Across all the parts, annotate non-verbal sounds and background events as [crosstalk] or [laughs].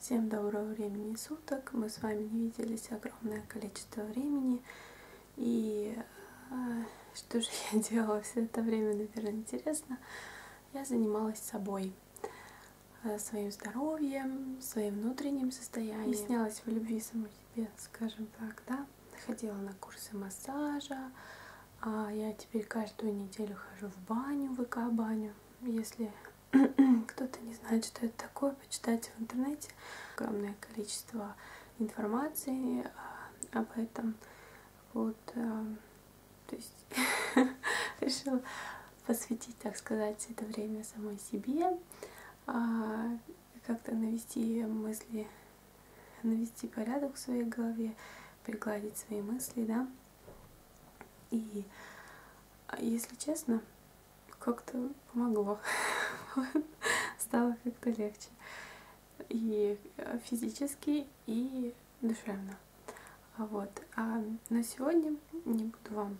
Всем доброго времени суток. Мы с вами не виделись огромное количество времени. И а, что же я [laughs] делала все это время, наверное, интересно. Я занималась собой, э, своим здоровьем, своим внутренним состоянием. Объяснялась в любви самой себе, скажем так, да ходила на курсы массажа, а я теперь каждую неделю хожу в баню, в ВК-баню. Если [clears throat] кто-то не знает, что это такое, почитайте в интернете. Огромное количество информации а, об этом. Вот, э, то есть [laughs] решила посвятить, так сказать, это время самой себе. А, как-то навести мысли, навести порядок в своей голове, пригладить свои мысли, да. И, а, если честно, как-то помогло. [laughs] Стало как-то легче. И а, физически, и душевно. А вот. А на сегодня не буду вам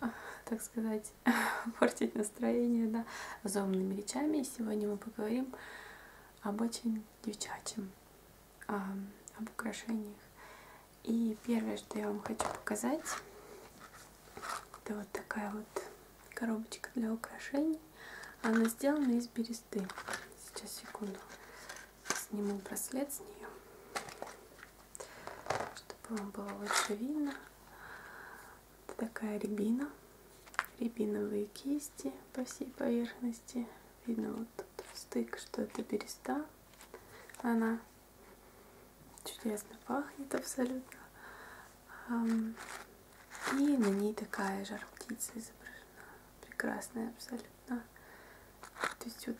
[laughs] так сказать, [laughs] портить настроение, да, зомными речами. И сегодня мы поговорим об очень девчачьем, об украшениях. И первое, что я вам хочу показать, это вот такая вот коробочка для украшений. Она сделана из бересты. Сейчас, секунду, сниму браслет с нее чтобы вам было лучше видно. Это такая рябина, рябиновые кисти по всей поверхности. Видно вот тут стык, что это береста. Она чудесно пахнет абсолютно. И на ней такая жар птица изображена. Прекрасная абсолютно. То есть вот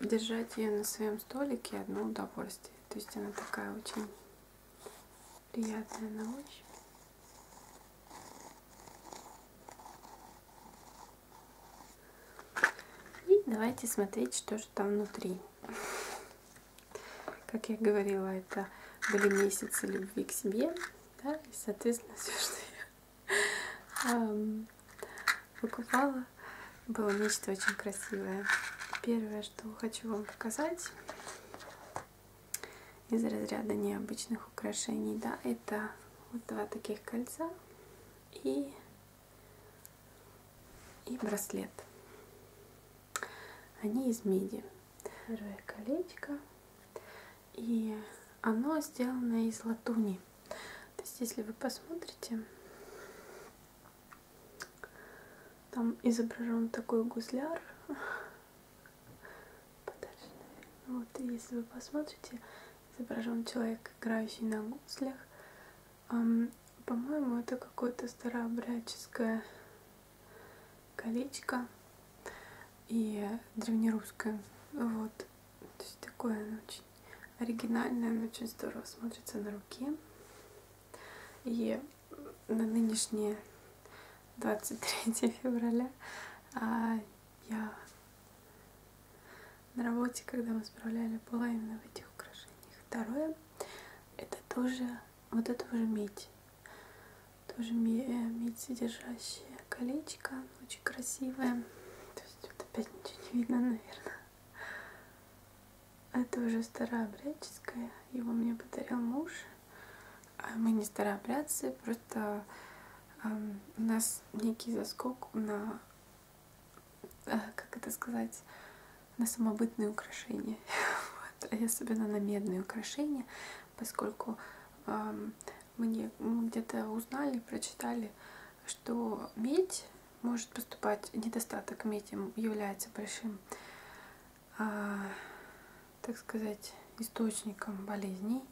держать ее на своем столике одно удовольствие. То есть она такая очень приятная на ощупь. И давайте смотреть, что же там внутри. [laughs] Как я говорила, это были месяцы любви к себе, да, и, соответственно, [laughs] все, что я эм, покупала, нашла. Было нечто очень красивое. Первое, что хочу вам показать из разряда необычных украшений, да, это вот два таких кольца и, и браслет. Они из меди. Первое колечко. И оно сделано из латуни. То есть, если вы посмотрите, там изображен такой гузляр. Подальше, наверное. Вот, если вы посмотрите, изображен человек, играющий на гуслях. По-моему, это какое-то старообрядческое колечко и древнерусское. Вот. То есть такое оно очень очень оригинальная, она очень здорово смотрится на руке. И на нынешнее 23 [laughs] февраля а я на работе, когда мы справляли, была именно в этих украшениях. Второе, это тоже, вот это уже медь. Тоже э, медь, содержащая колечко, очень красивое. То есть тут опять ничего не видно, наверное. Это уже старообрядческое, его мне подарил муж. А мы не старообрядцы, просто эм, у нас некий заскок на, э, как это сказать, на самобытные украшения. [laughs] вот. И особенно на медные украшения, поскольку эм, мне мы где-то узнали, прочитали, что медь может поступать недостаток медиум, является большим, а, так сказать, источником болезней.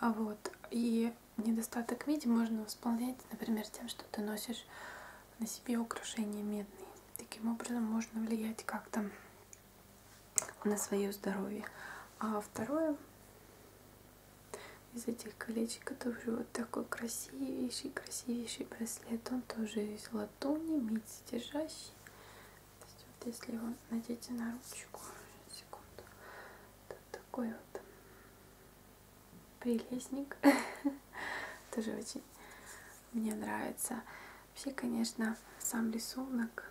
А вот. И недостаток меди можно восполнять, например, тем, что ты носишь на себе украшения медные. Таким образом можно влиять как-то на свое здоровье. А второе, из этих колечек, который вот такой красивейший, красивейший браслет. Он тоже из латуни, медь держащий. То есть вот если его надеть на ручку, секунду, то такой вот прелестник. [laughs] Тоже очень мне нравится. Вообще, конечно, сам рисунок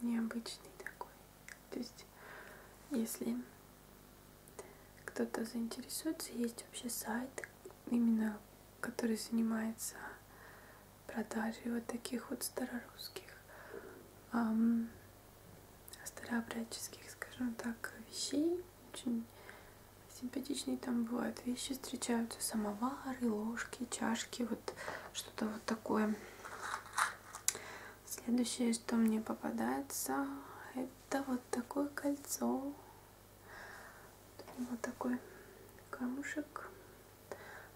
необычный такой. То есть, если кто-то заинтересуется, есть вообще сайт, именно который занимается продажей вот таких вот старорусских, эм, старообрядческих, скажем так, вещей. Очень симпатичные там бывают вещи, встречаются самовары, ложки, чашки, вот что-то вот такое. Следующее, что мне попадается, это вот такое кольцо. Вот такой камушек.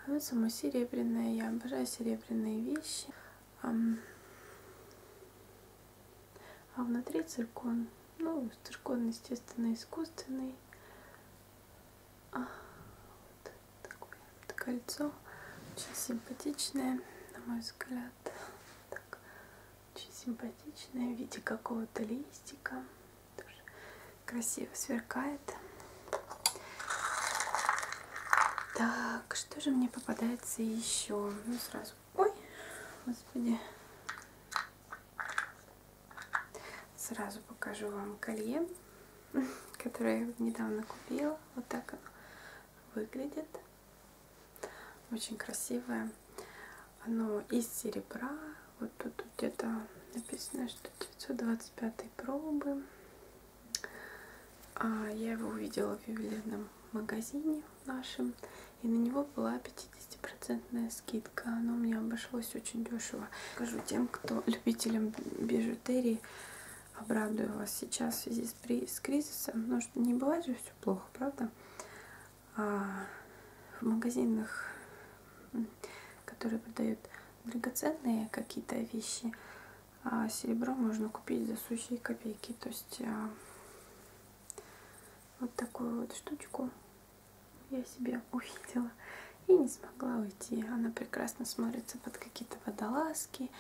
Оно само серебряное. Я обожаю серебряные вещи. А внутри циркон. Ну, циркон, естественно, искусственный. А, вот такое это кольцо очень симпатичное на мой взгляд так, очень симпатичное в виде какого-то листика тоже красиво сверкает так что же мне попадается еще ну сразу ой господи сразу покажу вам колье [laughs] которое я недавно купила. Вот так оно выглядит. Очень красивое. Оно из серебра. Вот тут где-то написано, что 925 пробы. А я его увидела в ювелирном магазине нашем. И на него была 50% скидка. Оно мне обошлось очень дешево. Скажу тем, кто любителям бежевых бижутерии. Обрадую вас сейчас в связи с, с кризисом. Но ну, что не бывает же все плохо, правда? А в магазинах, которые продают драгоценные какие-то вещи, а серебро можно купить за сущие копейки. То есть а, вот такую вот штучку я себе увидела и не смогла уйти. Она прекрасно смотрится под какие-то водолазки,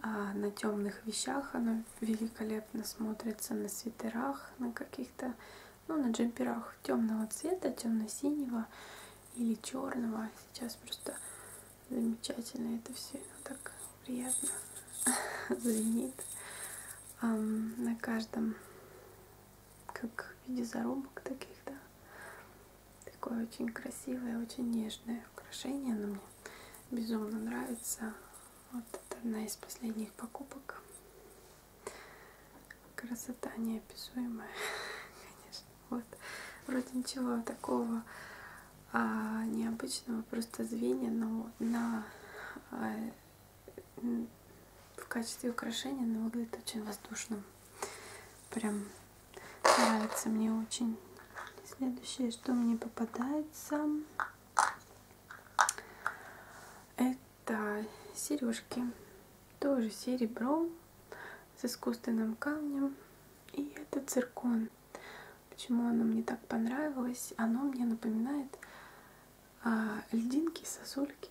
а на темных вещах она великолепно смотрится, на свитерах, на каких-то, ну, на джемперах темного цвета, темно-синего или черного. Сейчас просто замечательно это все, так приятно [laughs] звенит на каждом как в виде зарубок таких, да. Такое очень красивое, очень нежное украшение. Оно мне безумно нравится. Вот это одна из последних покупок. Красота неописуемая, [laughs] конечно. Вот. Вроде ничего такого а, необычного, просто звенья, но на, а, в качестве украшения оно выглядит очень воздушным. Прям нравится мне очень. Следующее, что мне попадается, это сережки. Тоже серебро с искусственным камнем. И это циркон. Почему оно мне так понравилось? Оно мне напоминает а, льдинки, сосульки.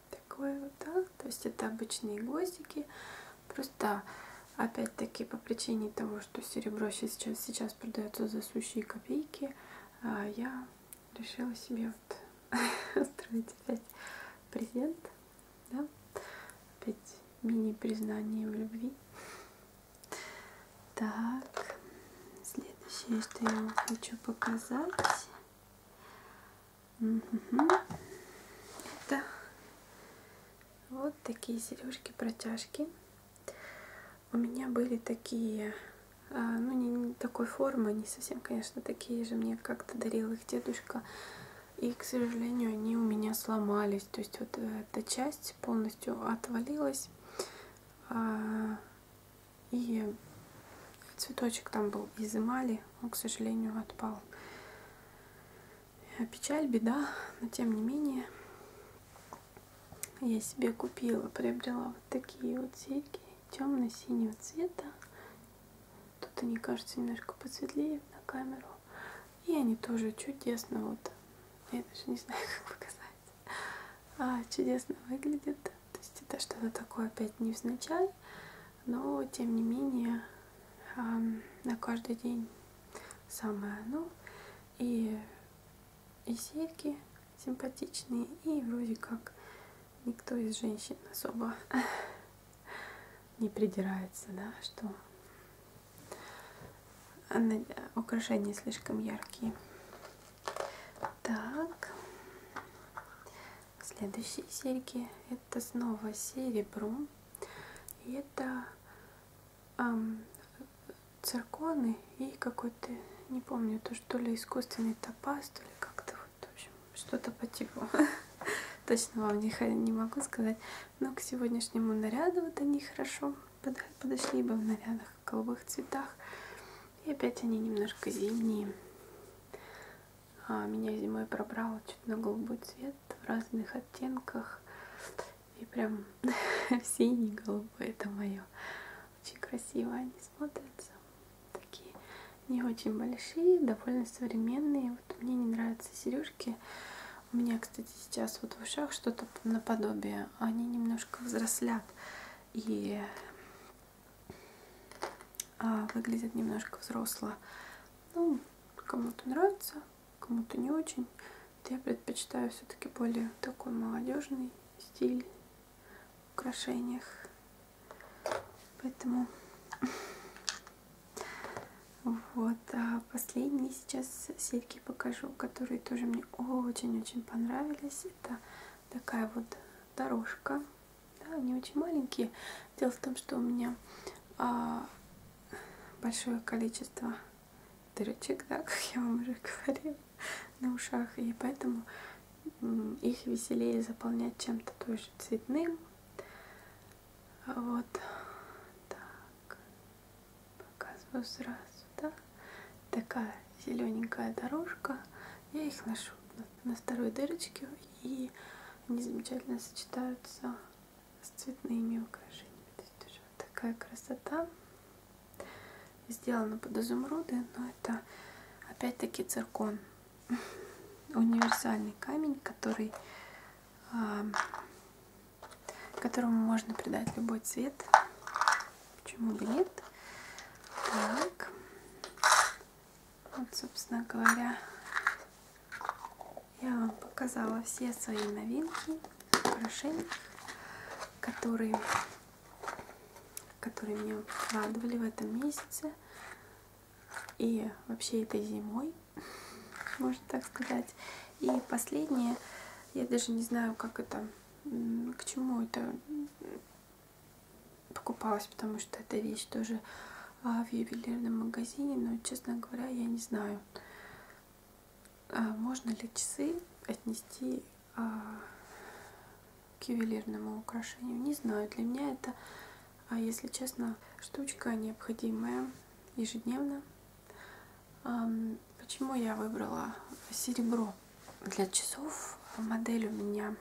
такой вот, да? То есть это обычные гвоздики. Просто опять-таки по причине того, что серебро сейчас, сейчас продается за сущие копейки, а, я решила себе вот [laughs] устроить опять презент. Да? Опять мини-признание в любви. Так, следующее, что я вам хочу показать, Угу. Это вот такие сережки-протяжки. У меня были такие, а, ну не, не такой формы, не совсем, конечно, такие же. Мне как-то дарил их дедушка. И, к сожалению, они у меня сломались. То есть вот э, эта часть полностью отвалилась. А, и цветочек там был из эмали он, к сожалению, отпал. Э, печаль, беда, но тем не менее я себе купила, приобрела вот такие вот серьги темно-синего цвета. Тут они кажутся немножко посветлее на камеру. И они тоже чудесно, вот, я даже не знаю, [laughs] как показать, а, чудесно выглядят. То есть это что-то такое опять невзначай но тем не менее на каждый день самое оно. И, и серьги симпатичные, и вроде как никто из женщин особо [laughs] не придирается, да, что украшения слишком яркие. Так, Следующие серьги это снова серебро. И это эм, цирконы и какой-то, не помню, то что ли искусственный топаз, то ли как-то вот, в общем, что-то по типу. [laughs] Точно вам не, не могу сказать. Но к сегодняшнему наряду вот они хорошо подошли бы в нарядах в голубых цветах. И опять они немножко зимние а меня зимой пробрало чуть на голубой цвет в разных оттенках. И прям [laughs] синий, голубой, это мое. Очень красиво они смотрятся. Такие не очень большие, довольно современные. Вот мне не нравятся сережки. У меня, кстати, сейчас вот в ушах что-то наподобие. Они немножко взрослят. И а, выглядит немножко взросло. Ну, кому-то нравится, кому-то не очень. Вот я предпочитаю все-таки более такой молодежный стиль в украшениях. Поэтому вот, а последние сейчас серьги покажу, которые тоже мне очень-очень понравились. Это такая вот дорожка да, они очень маленькие. Дело в том, что у меня а, большое количество дырочек, да, [laughs] как я вам уже говорила, на ушах. И поэтому их веселее заполнять чем-то тоже цветным. Вот. Так. Показываю сразу, да. Такая зелененькая дорожка. Я их ношу на на второй дырочке и они замечательно сочетаются с цветными украшениями. То есть тоже вот такая красота. Сделана под изумруды, но это опять-таки циркон. [laughs] Универсальный камень, который, а, которому можно придать любой цвет. Почему бы нет? Так. Вот, собственно говоря, я вам показала все свои новинки украшений, которые, которые мне радовали в этом месяце и вообще этой зимой, [laughs] можно так сказать. И последнее, я даже не знаю, как это, к чему это покупалась, потому что эта вещь тоже а, в ювелирном магазине, но, честно говоря, я не знаю, а, можно ли часы отнести а, к ювелирному украшению. Не знаю, для меня это, если честно, штучка необходимая ежедневно. Почему я выбрала серебро? для часов. Модель у меня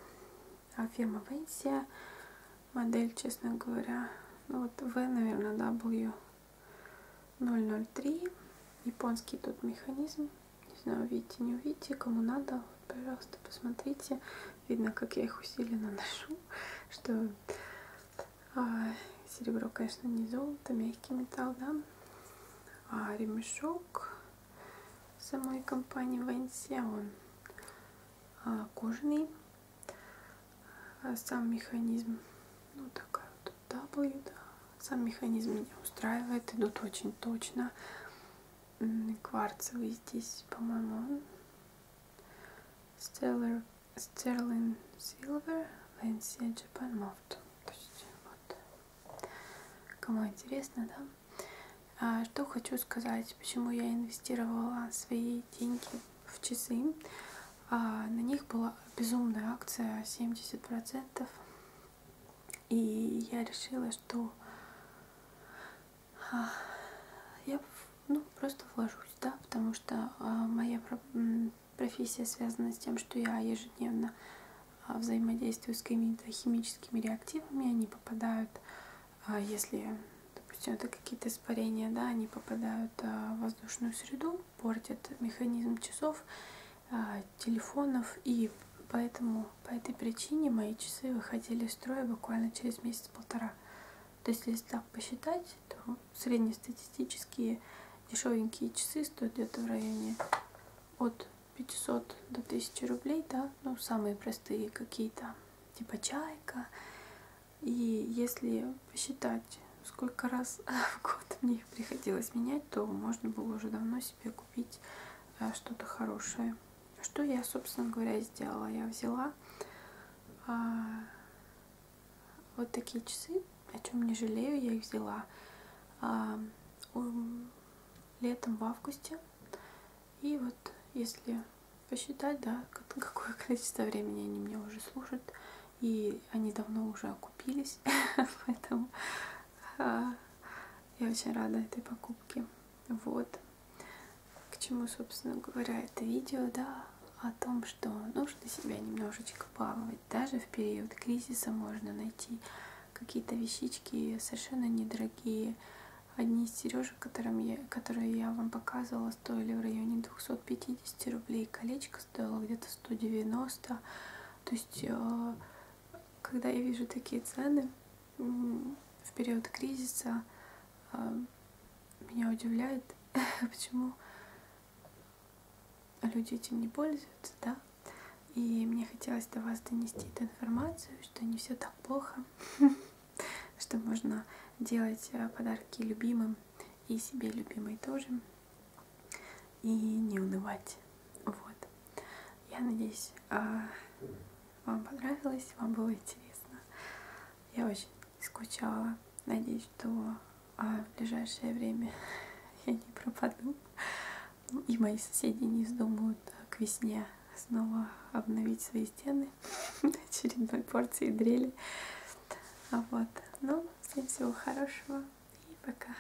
Афема Венсия. Модель, честно говоря, ну вот V, наверное, W 003. Японский тут механизм. Не знаю, видите, не увидите. Кому надо, пожалуйста, посмотрите. Видно, как я их усиленно [laughs] ношу, что а, серебро, конечно, не золото, мягкий металл, да. А ремешок самой компании Вэнси. Он а, кожаный. А сам механизм, ну такая вот W, да. Сам механизм меня устраивает. Идут очень точно. Кварцевый здесь, по-моему, он. Stellar, Sterling Silver, Lancia Japan Moft. То есть вот Кому интересно, да? А, что хочу сказать, почему я инвестировала свои деньги в часы. А, на них была безумная акция 70%. И я решила, что а, я ну, просто вложусь, да, потому что а, моя профессия связана с тем, что я ежедневно а, взаимодействую с какими-то химическими реактивами, они попадают, а, если, допустим, это какие-то испарения, да, они попадают а, в воздушную среду, портят механизм часов, телефонов, и поэтому по этой причине мои часы выходили из строя буквально через месяц-полтора. То есть, если так посчитать, то среднестатистические Дешевенькие часы стоят где-то в районе от 500 до 1000 рублей, да, ну, самые простые какие-то, типа чайка. И если посчитать, сколько раз [laughs] в год мне их приходилось менять, то можно было уже давно себе купить а, что-то хорошее. Что я, собственно говоря, и сделала. Я взяла а, вот такие часы о чем не жалею, я их взяла а, летом в августе. И вот если посчитать, да, [laughs] какое количество времени они мне уже служат, и они давно уже окупились, [laughs] поэтому а, я очень рада этой покупке. Вот. К чему, собственно говоря, это видео, да, о том, тем, что нужно себя немножечко баловать. Даже в период кризиса можно найти какие-то вещички совершенно недорогие. Одни из сережек, которым я, которые я вам показывала, стоили в районе 250 рублей. Колечко стоило где-то 190. То есть, э, когда я вижу такие цены в период кризиса, э, меня удивляет, [laughs] почему а люди этим не пользуются, да. И мне хотелось до вас донести эту информацию, что не все так плохо, [laughs] что можно делать э, подарки любимым и себе любимой тоже, и не унывать. Вот. Я надеюсь, а, вам понравилось, вам было интересно. Я очень скучала. Надеюсь, что а, в ближайшее время [laughs] я не пропаду. И мои соседи не вздумают а, к весне снова обновить свои стены [laughs] очередной порции дрели. А вот. Ну, всем всего хорошего и пока.